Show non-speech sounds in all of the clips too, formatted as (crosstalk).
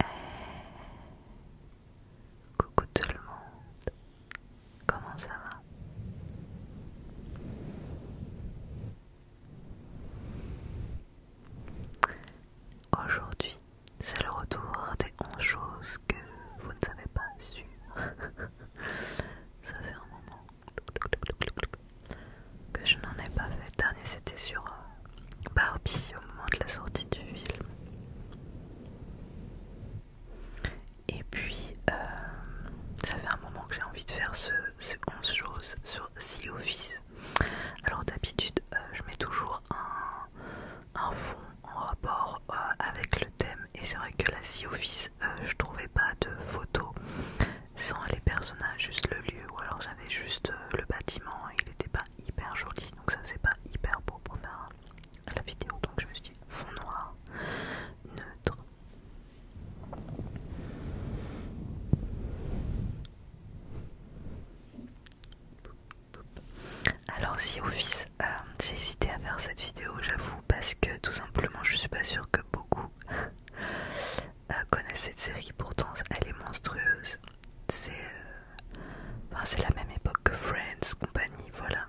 Eh, coucou tout le monde, comment ça va Aujourd'hui, c'est le retour des 11 choses que vous ne savez pas sur. (laughs) ça fait un moment que je n'en ai pas fait. dernier, c'était sur euh, Barbie au moment de la sortie du film. Et puis, euh, ça fait un moment que j'ai envie de faire ce, 11 choses sur Sea Office. Alors d'habitude, euh, je mets toujours un, fond en rapport euh, avec le thème. Et c'est vrai que la Sea Office, je trouvais pas de photos sans les personnages, juste le lieu. Ou alors j'avais juste le bâtiment il pas hyper jolie, donc ça faisait pas hyper beau pour faire la vidéo. Donc je me suis dit fond noir, neutre. Alors si Office, euh, j'ai hésité à faire cette vidéo, j'avoue, parce que tout simplement je suis pas sûre que beaucoup euh, connaissent cette série. Pourtant, elle est monstrueuse. Euh, c'est la même époque que Friends, compagnie, voilà.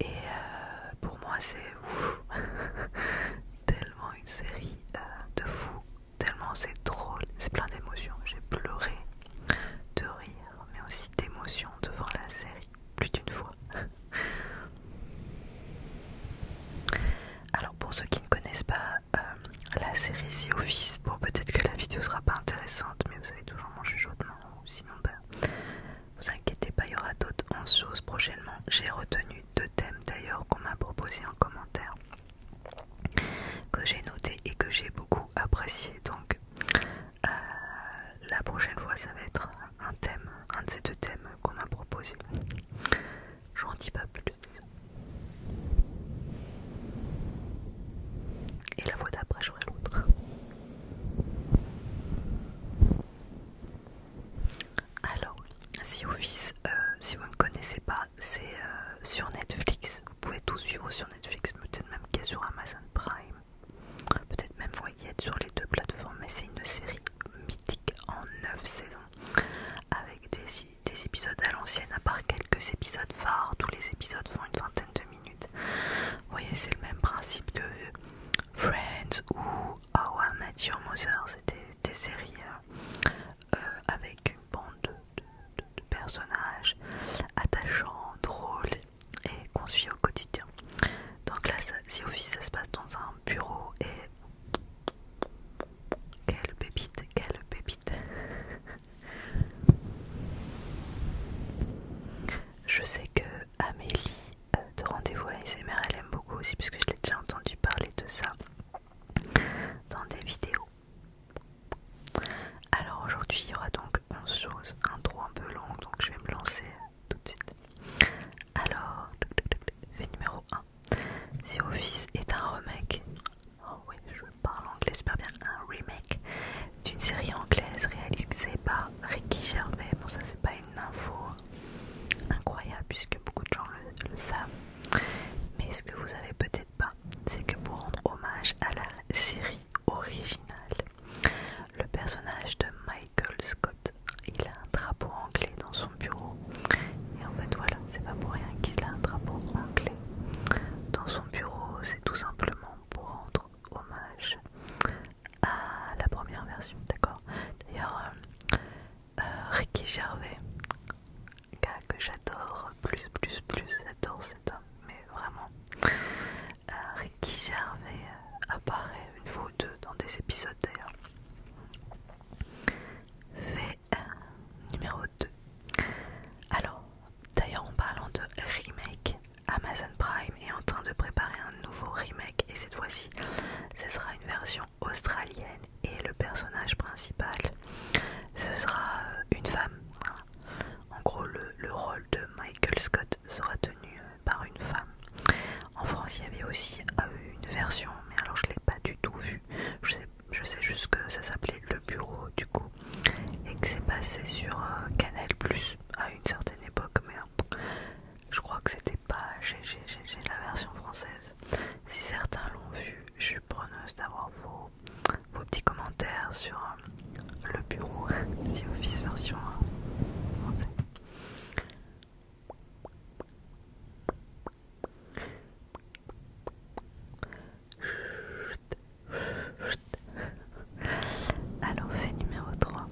Et euh, pour moi, c'est (laughs) tellement une série euh, de fou, tellement c'est drôle, c'est plein d'émotions. J'ai pleuré de rire, mais aussi d'émotion devant la série, plus d'une fois. (laughs) Alors pour ceux qui ne connaissent pas euh, la série The Office. Bon, peut-être que la vidéo sera pas intéressante, mais vous avez toujours mon chuchotement. sinon, pas. Ben, vous inquiétez pas, il y aura d'autres 11 choses prochainement. J'ai retenu deux thèmes d'ailleurs qu'on m'a proposé en commentaire, que j'ai noté et que j'ai beaucoup apprécié. Donc, euh, la prochaine fois, ça va être un thème, un de ces deux thèmes qu'on m'a proposé. J'en dis pas plus. Et la voix d'après, j'aurai l'autre. Alors, si Office, euh, si vous ne connaissez pas, c'est euh, sur Netflix. Vous pouvez tout suivre sur Netflix, peut-être même qu'il y a sur Amazon Prime. Peut-être même vous y sur les deux plateformes, mais c'est une série mythique en 9 saisons avec des des épisodes à l'ancienne, à part quelques épisodes phares. Tous les épisodes font une vingtaine de minutes. Vous voyez, c'est le même principe que Friends ou How I Met Your Mother. C'était des, séries euh, euh, avec une bande de, personnages attachants, drôles et qu'on suit au quotidien. Donc là, si au Office, ça se passe dans un bureau et... Quelle pépite, quelle pépite je sais que Amélie euh, de Rendez-vous ASMR, elle aime beaucoup aussi, puisque je l'ai déjà entendu parler de ça dans des vidéos. Alors aujourd'hui, il y aura donc 11 choses, un trou un peu long, donc je vais me lancer tout de suite. Alors, fait numéro 1. Si Office est un remake, oh oui, je parle anglais super bien, un remake d'une série anglaise réalisée par Ricky Gervais. Bon, ça, c'est pas une info incroyable puisque beaucoup de gens le, savent. Mais ce que vous savez peut-être pas, c'est que pour rendre hommage à la série originale, le personnage de Michael Scott, il a un drapeau anglais dans son bureau. Et en fait, voilà, c'est pas pour rien qu'il a un drapeau anglais dans son bureau, c'est tout simplement pour rendre hommage à la première version, d'accord D'ailleurs, euh, euh, Ricky Gervais, gars que j'adore plus, plus, plus, j'adore cet homme, mais vraiment, euh, Ricky Gervais apparaît une fois ou deux dans des épisodes d'ailleurs, fait numéro 2. Alors, d'ailleurs en parlant de remake, Amazon Prime est en train de préparer un nouveau remake et cette fois-ci, ce sera une version australienne et le personnage principal, ce sera euh, une femme. En gros, le, rôle de Michael Scott sera tenu euh, par une femme. En France, il y avait aussi euh, une version, mais alors je l'ai pas du tout vue. Je sais pas je sais juste que ça s'appelait Le Bureau du coup et que c'est passé sur euh, Canal Plus à une certaine époque mais euh, je crois que c'était pas j'ai la version française si certains l'ont vu je suis preneuse d'avoir vos, petits commentaires sur euh, le bureau (laughs) si office version français alors, fait numéro 3.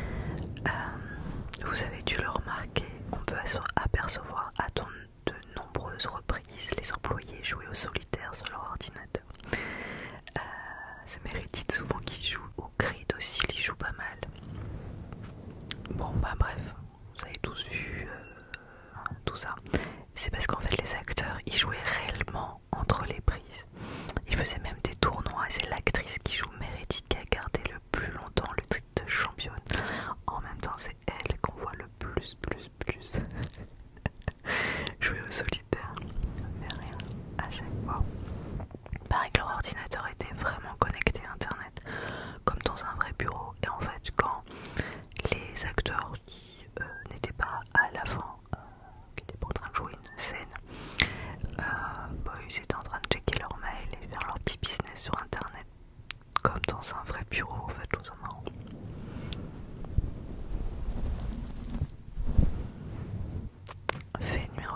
Euh, vous avez dû le remarquer, on peut apercevoir à de nombreuses reprises les employés jouer au solitaire sur leur ordinateur. Euh, c'est Meredith souvent qui joue, au grid aussi, il joue pas mal. Bon, bah bref vous avez tous vu euh, tout ça, c'est parce qu'en fait les acteurs ils jouaient réellement entre les prises. Ils faisaient même des tournois c'est l'actrice qui joue Meredith qui a gardé le plus longtemps le titre de championne. En même temps c'est elle qu'on voit le plus plus plus (laughs) jouer au solitaire. Mais rien à chaque fois. Pareil que leur ordinateur était vraiment connecté internet comme dans un vrai bureau et en fait quand les acteurs euh, n'était n'étaient pas à l'avant, euh, qui n'étaient pas en train de jouer une scène, euh, bah, ils étaient en train de checker leur mail et faire leur petit business sur internet, comme dans un vrai bureau en fait, tout ça Fait numéro,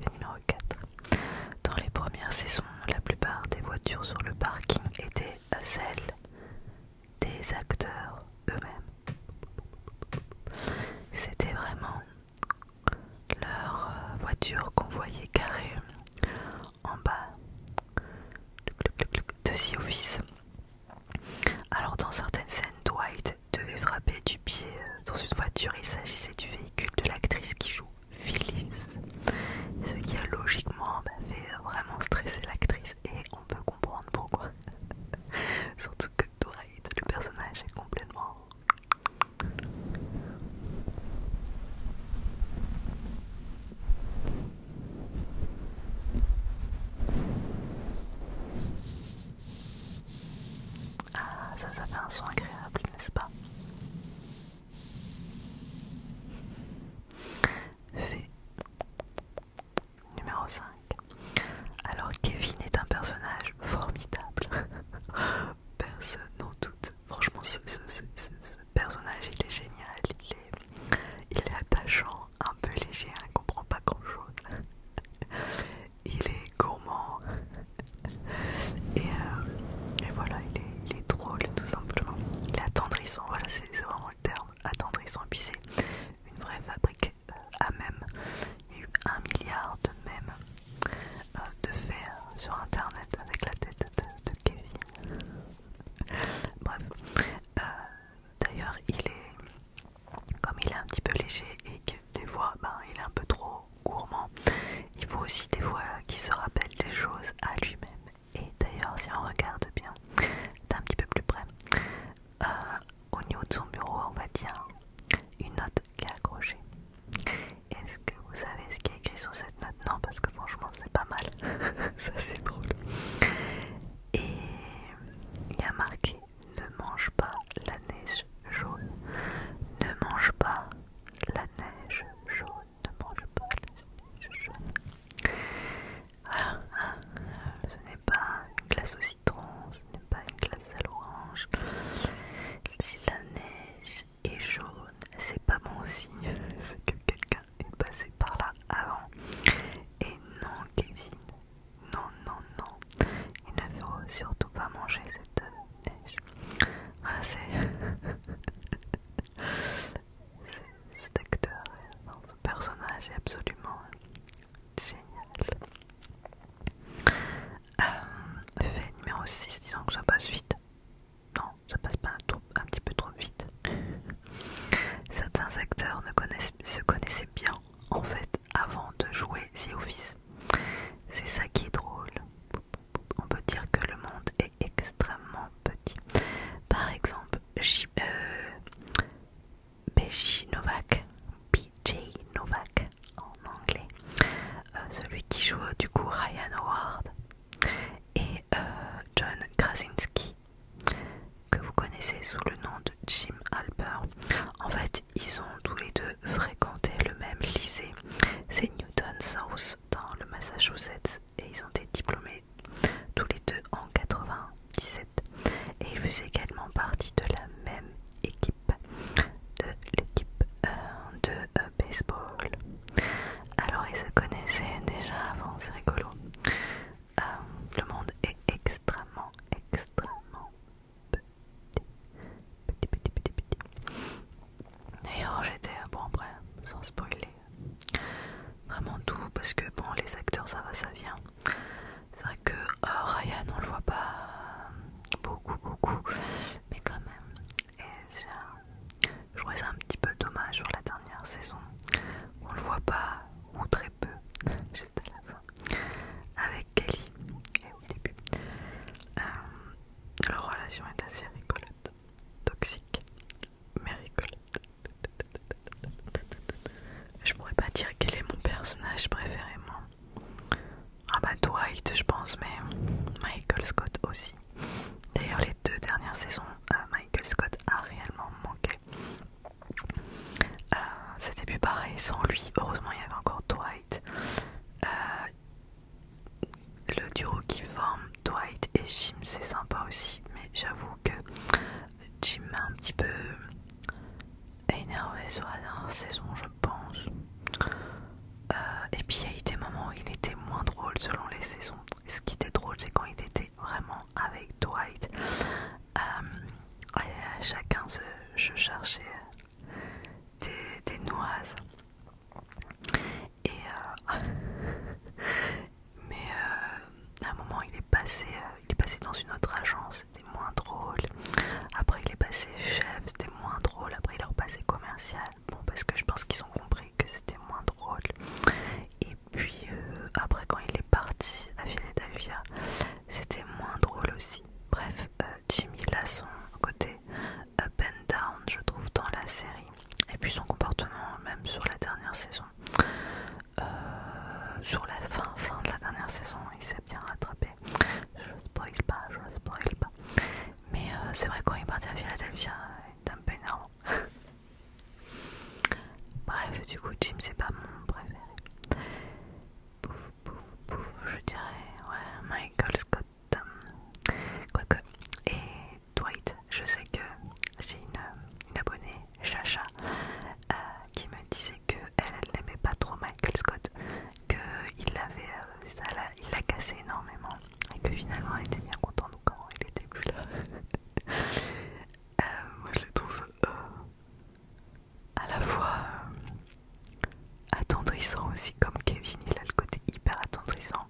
fait numéro 4. Dans les premières saisons, la plupart des voitures sur le parking étaient celle des acteurs eux-mêmes. C'était vraiment leur euh, voiture qu'on voyait carrée en bas de The Office. Alors dans certaines scènes, Dwight devait frapper du pied euh, dans une voiture. Il s'agissait du véhicule de l'actrice qui joue ce qui a logiquement bah, fait euh, vraiment stresser l'actrice et on peut comprendre pourquoi. (laughs) Surtout que Doraïde, le personnage, est complètement... Ah, ça, ça fait un son agréable, n'est-ce pas fait numéro 5. Alors Kevin est un personnage formidable. (laughs) Personne n'en doute. Franchement, ce, personnage, il est génial. Il est, attachant, un peu léger, hein, il ne comprend pas grand-chose. (laughs) Il est gourmand. Et, voilà euh, et voilà, il est, drôle tout simplement. Il est attendrissant, voilà, c'est vraiment le terme, attendrissant. Et puis c'est une vraie fabrique euh, à même. Il y a eu un milliard de mèmes euh, de faits euh, sur internet avec la tête de, Kevin. (laughs) Bref, d'ailleurs il est, comme il est un petit peu léger et que des fois ben, il est un peu trop gourmand, il faut aussi des fois qu'il se rappelle des choses à lui-même et d'ailleurs, si on regarde bien d'un petit peu plus près, euh, au niveau de son bureau, on va dire une note qui est accrochée. Est-ce que vous savez ce qui est écrit sur cette note Non, parce que franchement, c'est pas mal. (laughs) Ça, c'est drôle. Et il y a marqué Ne mange pas la neige jaune. Ne mange pas la neige jaune ne mange pas jaune. Voilà, ce n'est pas une glace au citron, ce n'est pas une glace à l'orange. Si la neige est jaune, c'est pas bon aussi. (laughs) c'est que quelqu'un est passé par là avant. Et non, Kevin, non, non, non, il ne faut surtout pas manger cette neige. Voilà, c'est. (laughs) (laughs) cet acteur, ce personnage est absolument génial. Euh, fait numéro 6, disons que ça passe vite. Non, ça passe pas un petit peu trop vite. Certains acteurs se connaissaient bien en fait avant de jouer The Office. C'est ça qui est drôle. On peut dire que le monde est extrêmement petit. Par exemple, BJ euh, Novak, BJ Novak en anglais, euh, celui qui joue du coup Ryan Howard et euh, John Krasinski que vous connaissez sous le nom de Jim Halper. En fait, ils ont tous les deux fréquenté le même lycée, c'est Newton South dans le Massachusetts et ils ont été diplômés tous les deux en 97 et ils faisaient également partie de la même équipe de l'équipe euh, de euh, baseball. Alors ils se connaissaient déjà avant, c'est rigolo. Euh, le monde est extrêmement, extrêmement petit, petit, petit, petit. D'ailleurs, oh, j'étais, bon après, sans spoiler, Vraiment tout, parce que bon, les acteurs, ça va, ça vient. C'est vrai que oh, Ryan, on le voit pas beaucoup, beaucoup, mais quand même. Et je trouvais ça un petit peu dommage sur la dernière saison. On le voit pas, ou très peu, juste à la fin, avec Kelly et au début. Euh, leur relation est assez rigolote, toxique, mais Je pourrais pas dire quel est mon personnage préféré, Ah bah Dwight, je pense, mais Michael Scott aussi. D'ailleurs, les deux dernières saisons, euh, Michael Scott a réellement manqué. Euh, c'était plus pareil sans lui. Heureusement, il y avait encore Dwight. Euh, le duo qui forme Dwight et Jim, c'est sympa aussi, mais j'avoue que Jim m'a un petit peu énervé sur la dernière saison, je pense. Euh, et puis il y a eu des moments où il était moins drôle selon les saisons. Ce qui était drôle, c'est quand il était vraiment avec Dwight. Euh, chacun se, je cherchais des noises et euh, (laughs) mais euh, à un moment il est passé, euh, il est passé dans une autre agence, c'était moins drôle. Après il est passé chef, c'était moins drôle. Après il est repassé commercial, bon parce que je pense qu'ils ont compris que c'était moins drôle. Et puis après quand il est parti à Philadelphia, c'était moins drôle aussi. Bref, Jimmy là son côté up and down, je trouve dans la série. Et puis son comportement, même sur la dernière saison, euh, sur la fin, fin de la dernière saison, il s'est bien rattrapé. Je spoil pas, je spoil pas. Mais euh, c'est vrai, quand il est parti à Philadelphia, hein, il était un peu énorme. (laughs) Bref, du coup, Jim, c'est pas mon préféré. Pouf, pouf, pouf, je dirais, ouais, Michael Scott. Euh, quoique, et Dwight. Je sais que j'ai une, abonnée, Chacha, euh, qui me disait que elle, n'aimait pas trop Michael Scott, qu'il euh, l'a, il l'a cassé énormément, et que finalement elle était bien contente quand il était plus là. (laughs) Euh, moi, je le trouve à la fois attendrissant aussi, comme Kevin, il a le côté hyper attendrissant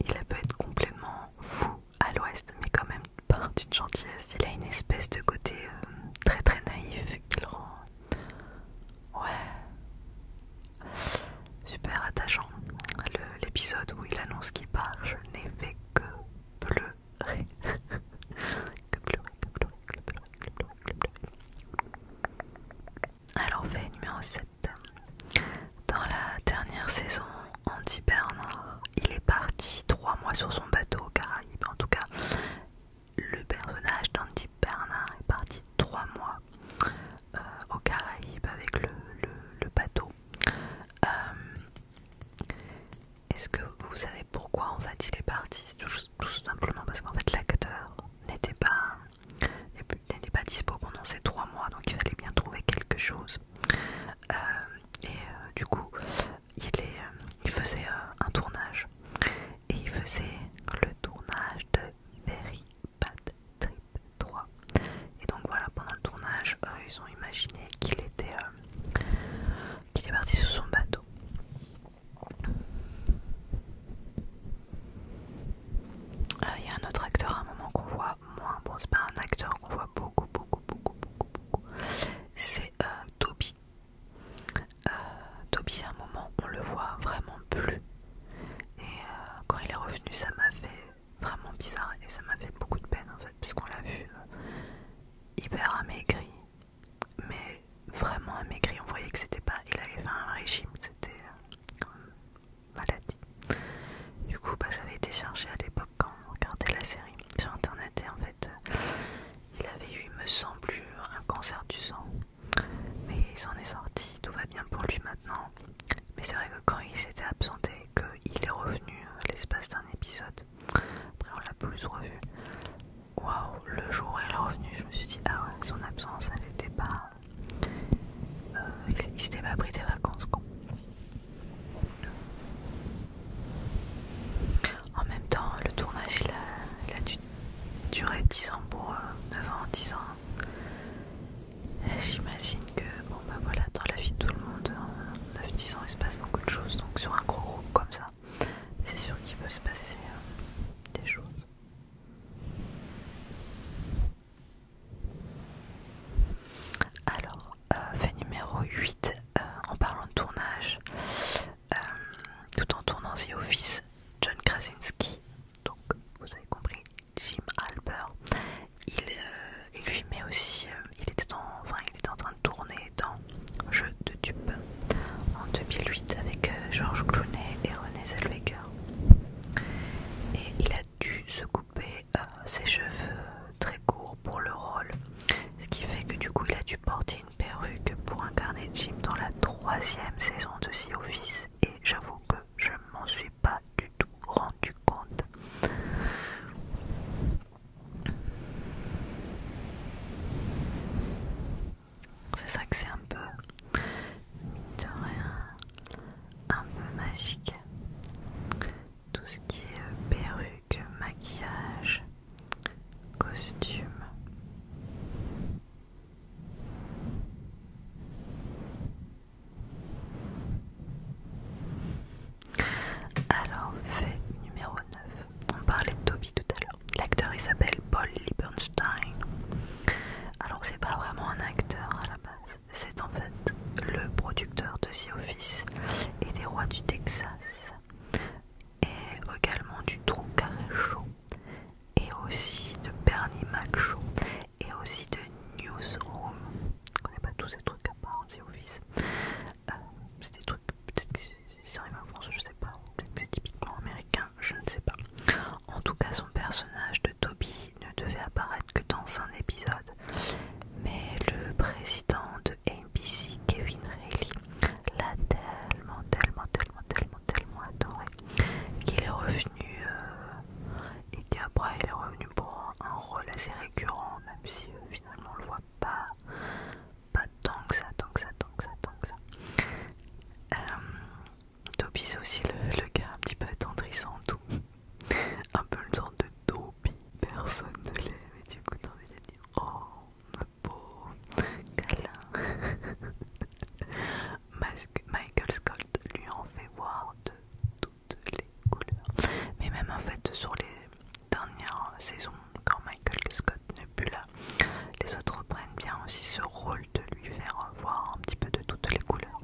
il a peut être complètement fou à l'ouest, mais quand même pas d'une gentillesse. Il a une espèce de côté euh, très très naïf qui le rend. Ouais. Super attachant. L'épisode où il annonce qu'il part, je n'ai fait que pleurer. (laughs) que pleurer, que pleurer, que pleurer, que pleurer, que pleurer. Alors, fait numéro 7. Dans la dernière saison, Andy Bernard, il est parti trois mois sur son bateau aux Caraïbes. En tout cas, le personnage d'Andy Bernard est parti trois mois euh, au aux Caraïbes avec le, bateau. Euh, est-ce que vous savez pourquoi en fait il est parti tout, tout simplement parce qu'en fait l'acteur n'était pas n'était pas dispo pendant ces trois mois, donc il fallait bien trouver quelque chose. Euh, et euh, du coup, il, euh, faisait un tournage. Et il faisait le tournage de Very Bad Trip 3. Et donc voilà, pendant le tournage, ils ont imaginé qu'il était, parti sur son bateau. Il y a un autre acteur à un moment qu'on voit moins, bon c'est pas un acteur qu'on voit beaucoup, beaucoup, beaucoup, beaucoup, beaucoup, c'est euh, Toby. Euh, Toby à un moment on le voit vraiment plus et euh, quand il est revenu ça m'a fait vraiment bizarre et ça m'a fait beaucoup de peine en fait puisqu'on l'a vu hyper amaigri mais vraiment amaigri on voyait que c'était pas il avait fait un régime c'était maladie. Du coup, bah, j'avais été chercher à l'époque quand on regardait la série sur internet et en fait, euh, il avait eu, me semble, un cancer du sang. Mais il s'en est sorti, tout va bien pour lui maintenant. Mais c'est vrai que quand il s'était absenté, qu'il est revenu euh, l'espace d'un épisode, après on l'a plus revu. Waouh, le jour où il est revenu, je me suis dit, ah son absence, elle n'était pas euh, il s'était pas pris des vacances, con. En même temps, le tournage il a, duré 10 ans pour 9 euh, ans, 10 ans. J'imagine que, bah dans la vie de tout le monde, en 9-10 ans il se passe beaucoup de choses. Donc sur un gros groupe comme ça, c'est sûr qu'il peut se passer euh, des choses. Alors, euh, fait numéro 8, euh, en parlant de tournage, euh, tout en tournant The Office, John Krasinski, donc vous avez compris, Jim Halper il, filmait aussi, il, était en, enfin, il était en train de tourner dans Jeu de dupes en 2008 avec George Clooney et René Zellweger. Et il a dû se couper euh, ses cheveux très courts pour le rôle. Ce qui fait que du coup il a dû porter une perruque pour incarner Jim dans la troisième saison de The Office et j'avoue que je m'en suis pas du tout rendu compte. C'est ça que c'est un peu, mine un peu magique tout ce qui est euh, perruque, maquillage, costume. Alors, fait numéro 9. On parlait de Toby tout à l'heure. L'acteur il s'appelle Paul Liebenstein. Alors, c'est pas vraiment un acteur à la base c'est en fait le producteur de The Office et des rois du Texas, et également du Trou Carré Show, et aussi de Bernie Mac Show, et aussi de Newsroom. Je connais pas tous ces trucs à part The Office. Euh, c'est des trucs, peut-être que c'est en France, je ne sais pas, peut-être que c'est typiquement américain, je ne sais pas. En tout cas, son personnage de Toby ne devait apparaître que dans un épisode, mais le président de NBC, Kevin Reilly, l'a tellement, tellement, tellement, tellement, tellement adoré qu'il est revenu et euh, qu'après il est revenu pour un, rôle assez récurrent, même si euh, finalement on le voit pas, pas tant que ça, tant que ça, tant que ça, tant que ça. Euh, Toby c'est aussi le, gars un petit peu attendrissant tout. (laughs) Un peu une sorte de Toby, personne ne l'aime et du coup t'as envie de dire oh ma peau câlin. (laughs) Michael Scott lui en fait voir de toutes les couleurs. Mais même en fait sur les dernières saisons quand Michael Scott n'est plus là, les autres prennent bien aussi ce rôle de lui faire voir un petit peu de toutes les couleurs.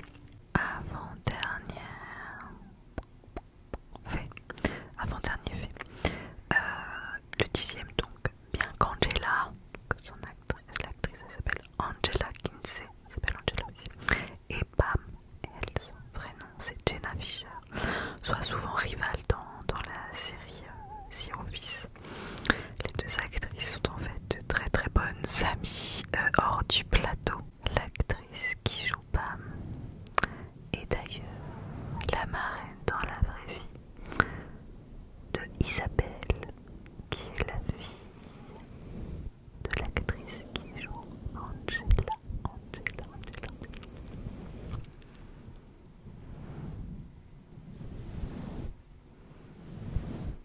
Avant-dernière fait. Avant-dernier fait. Euh, le dixième donc, bien qu'Angela, son l'actrice elle s'appelle Angela Kinsey, elle s'appelle Angela aussi, et Pam, elle, son vrai nom c'est Jenna Fisher, soit souvent rivales dans, la série si euh, Sea Office. Les deux actrices sont en fait de très très bonnes amies euh, hors du plateau. L'actrice qui joue Pam et d'ailleurs la marraine dans la vraie vie de Isabelle, qui est la fille de l'actrice qui joue Angela, Angela, Angela.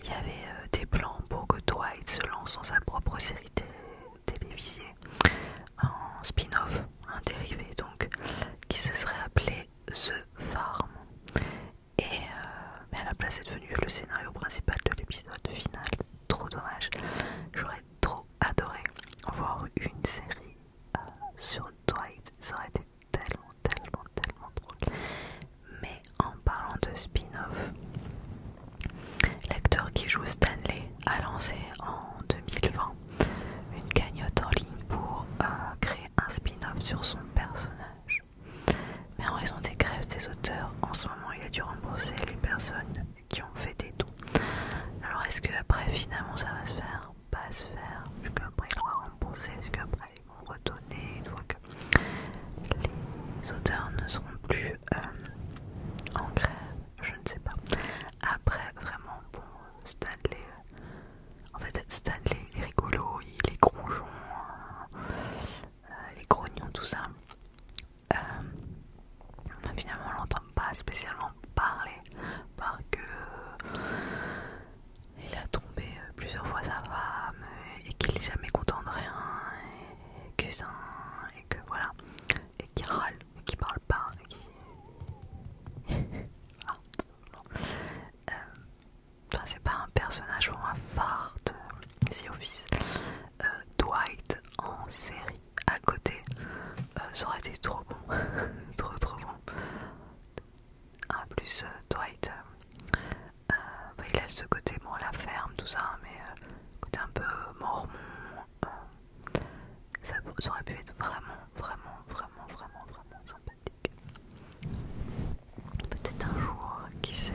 il y avait euh, des plans pour que Dwight se lance dans sa propre série télévisée, en spin-off, un dérivé donc, qui se serait appelé The Farm. Et euh, mais à la place est devenu le scénario principal de l'épisode final. Trop dommage. J'aurais trop adoré voir une série euh, sur Dwight. Ça aurait été tellement, tellement, tellement drôle. Mais en parlant de spin-off, l'acteur qui joue Stanley a lancé en 2020 une cagnotte en ligne pour euh, créer un spin-off sur son personnage. Mais en raison des grèves des auteurs, en ce moment il a dû rembourser les personnes qui ont fait des dons. Alors est-ce que après finalement ça va se faire Pas se faire, puisqu'après qu'après il doit rembourser, retourner une fois que les auteurs ne seront plus euh, en grève, je ne sais pas. Après, vraiment, bon, Stanley, euh, en fait, Stanley, les est rigolo, il est gronchon, euh, les grognons, tout ça. finalement, on l'entend pas spécialement parler, parce que il a tombé euh, plusieurs fois sa femme euh, et qu'il n'est jamais content de rien et que ça et que voilà et qui râle et qui parle pas et qui (laughs) ah, euh, enfin, c'est pas un personnage vraiment phare de Office Dwight en série à côté serait ça aurait été trop bon (laughs) trop trop bon ah, plus euh, Dwight, euh, euh, bah, il a ce côté, bon, la ferme, tout ça, mais un peu mormon. ça, aurait pu être vraiment, vraiment, vraiment, vraiment, vraiment sympathique. Peut-être un jour, qui sait,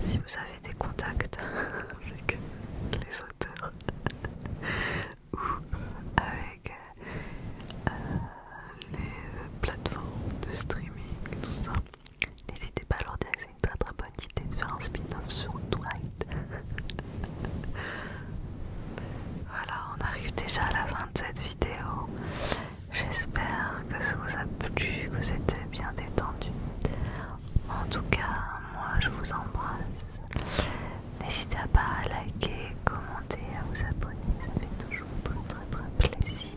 si vous avez des contacts (laughs) avec les auteurs (laughs) ou avec les euh, plateformes de streaming tout ça. N'hésitez pas à leur dire que c'est une très très bonne idée de faire un spin-off sur Dwight. (laughs) voilà, on arrive déjà à la fin de cette vidéo. J'espère que ça vous a plu, que vous êtes bien détendu. En tout cas, moi je vous embrasse. N'hésitez pas à liker, commenter, à vous abonner, ça fait toujours très très très plaisir.